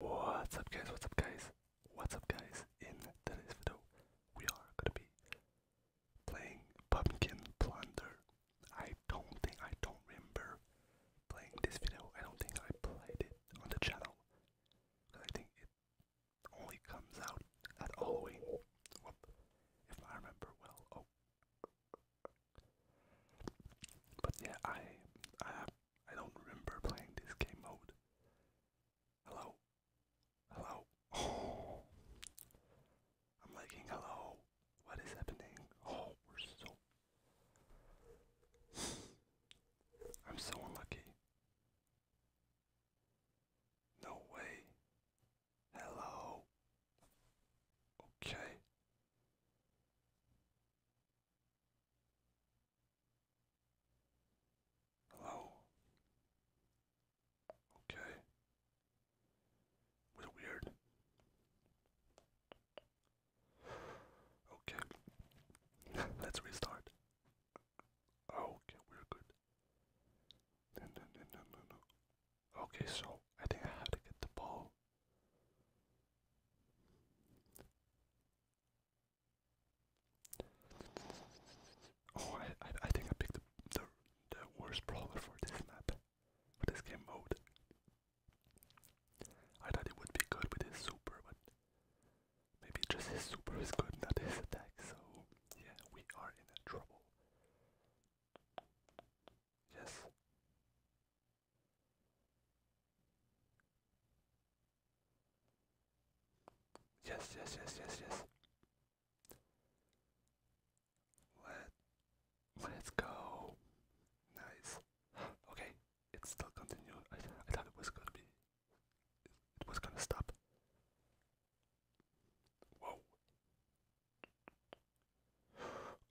What's up guys, what's up guys, what's up guys, in today's video we are gonna be playing Pumpkin Plunder. I don't think, I don't remember playing this video, I don't think I played it on the channel. I think it only comes out at Halloween, if I remember well. Oh. But yeah, I, I I don't remember playing this game mode. Hello? Hello? I'm liking hello. What is happening? Oh, we're so. I'm so unlucky. No way. Hello. Okay. Hello? Okay. weird? Okay. Let's restart. Okay, we're good. No, no, no, no, no, no. Okay, so I think I have to get the ball. Oh, I, I, think I picked the, the, worst brawler for this map, for this game mode. I thought it would be good with his super, but maybe just his super is good, not his attack, so yeah, we are in trouble. Yes. Yes, yes, yes, yes, yes. Let let's go. Nice. Okay, it's still continuing. I, thought it was gonna be. It, was gonna stop. Whoa.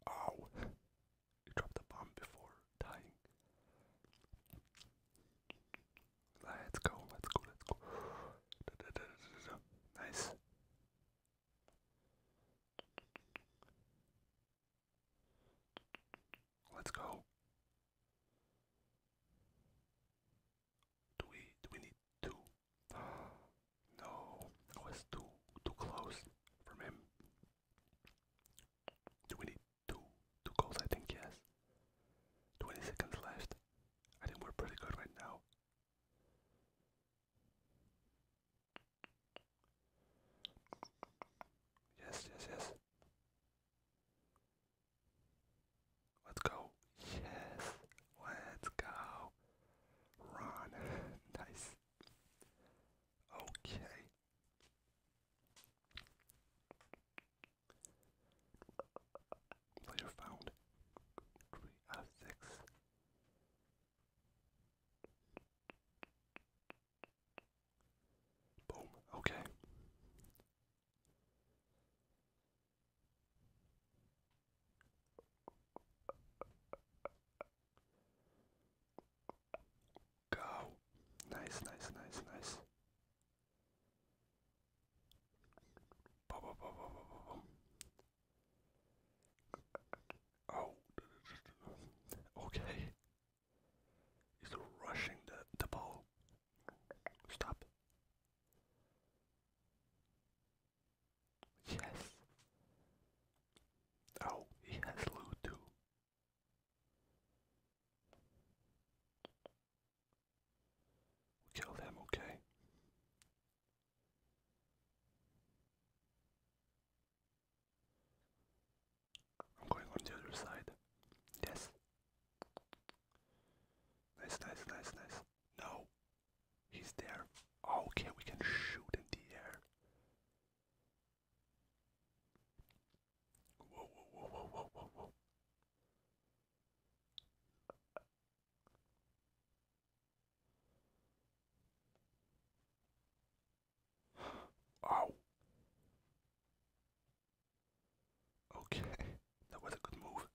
Ow. You drop the bomb before dying. Let's go, let's go, let's go. Nice. Let's go. Do we do we need two? No, was too too close from him. Do we need two, two goals, I think, yes. 20 seconds left. I think we're pretty good right now. Yes, yes, yes. Let's go. Yes, let's go. Run. nice. Okay. Player found three out of six. Boom. Okay. Go. Nice, nice, nice, nice. Boom, boom, boom, boom, boom, boom. Oh, okay. He's rushing the, the ball. Stop. Yes. Oh, he has loot too kill them, okay? I'm going on the other side. Yes. Nice, nice, nice, nice. No. He's there. Oh, okay, we can shoot in the air. Whoa, whoa, whoa, whoa, whoa, whoa, whoa. Ow. Okay, that was a good move.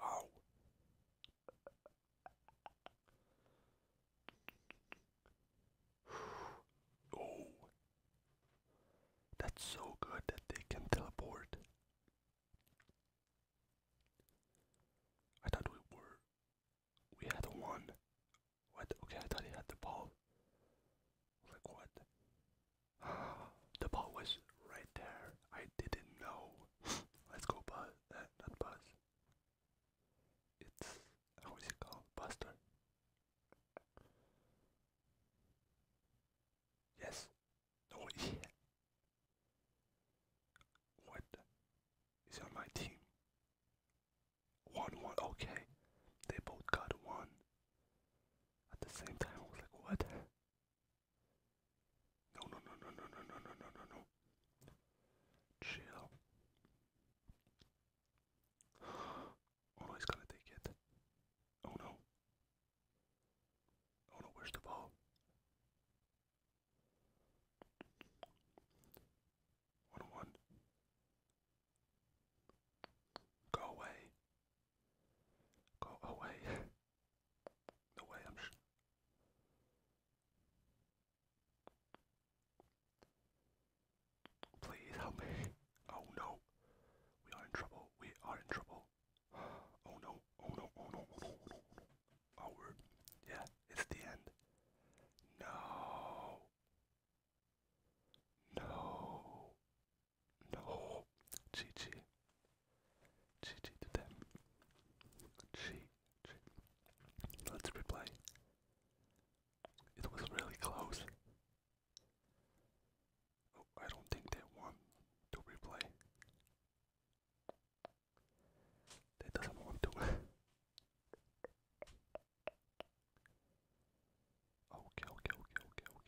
Oh. That's so good that they can teleport. I thought we were. We had one. What? Okay, I thought he had the ball. Like what? the ball was right there. I didn't know. Let's go Buzz. Uh, eh, not Buzz. It's how is it called? Buster. Yes. No. Oh, yeah. What is on my team? One one. Okay. They both got one. At the same time, I was like, what? No, no, no, no, no, no, no, no, no, no, no. Chill. Oh no, he's gonna take it. Oh no. Oh no, where's the ball? One one. Go away. Go away. the way I'm sh Please help me. Oh no. We are in trouble. We are in trouble. Oh no. Oh no. Oh no. Oh no. Oh, no. oh word. Yeah, it's the end. No. No. No. GG. GG to them. GG. Let's replay. It was really close. Oh, I don't think they want to replay. They doesn't want to. okay, okay, okay, okay, okay.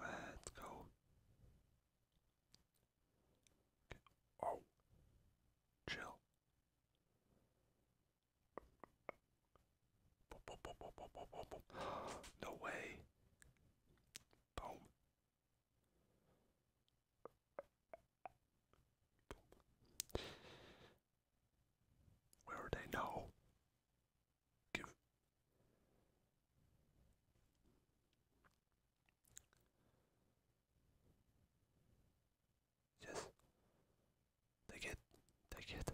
Let's go. Oh, chill. No way. Boom. Where are they now? Yes. Take it. Take it.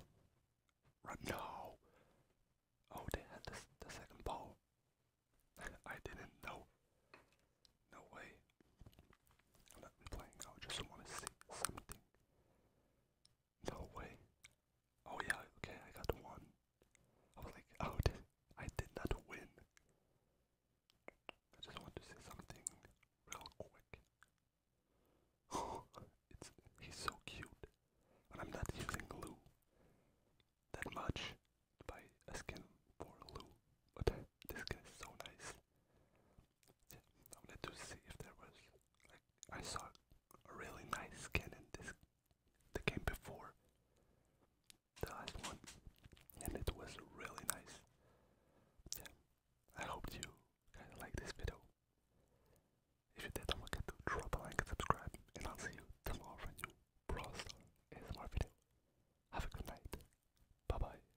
Run now. Oh, they had the, the second ball. I didn't know. No way. I'm not playing. I just want to see something. No way. Oh yeah, okay, I got one. I was like, oh, I did not win. I just want to say something real quick. it's he's so cute, and I'm not using glue that much. Buy a for Lou, but this skin so nice. I wanted to see if there was like I saw a really nice skin in this the game before the last one, and it was really nice. Yeah, I hope you kind of like this video. If you did, don't forget to drop a like subscribe, and I'll see you tomorrow for new Brawl Stars ASMR video. Have a good night. Bye bye.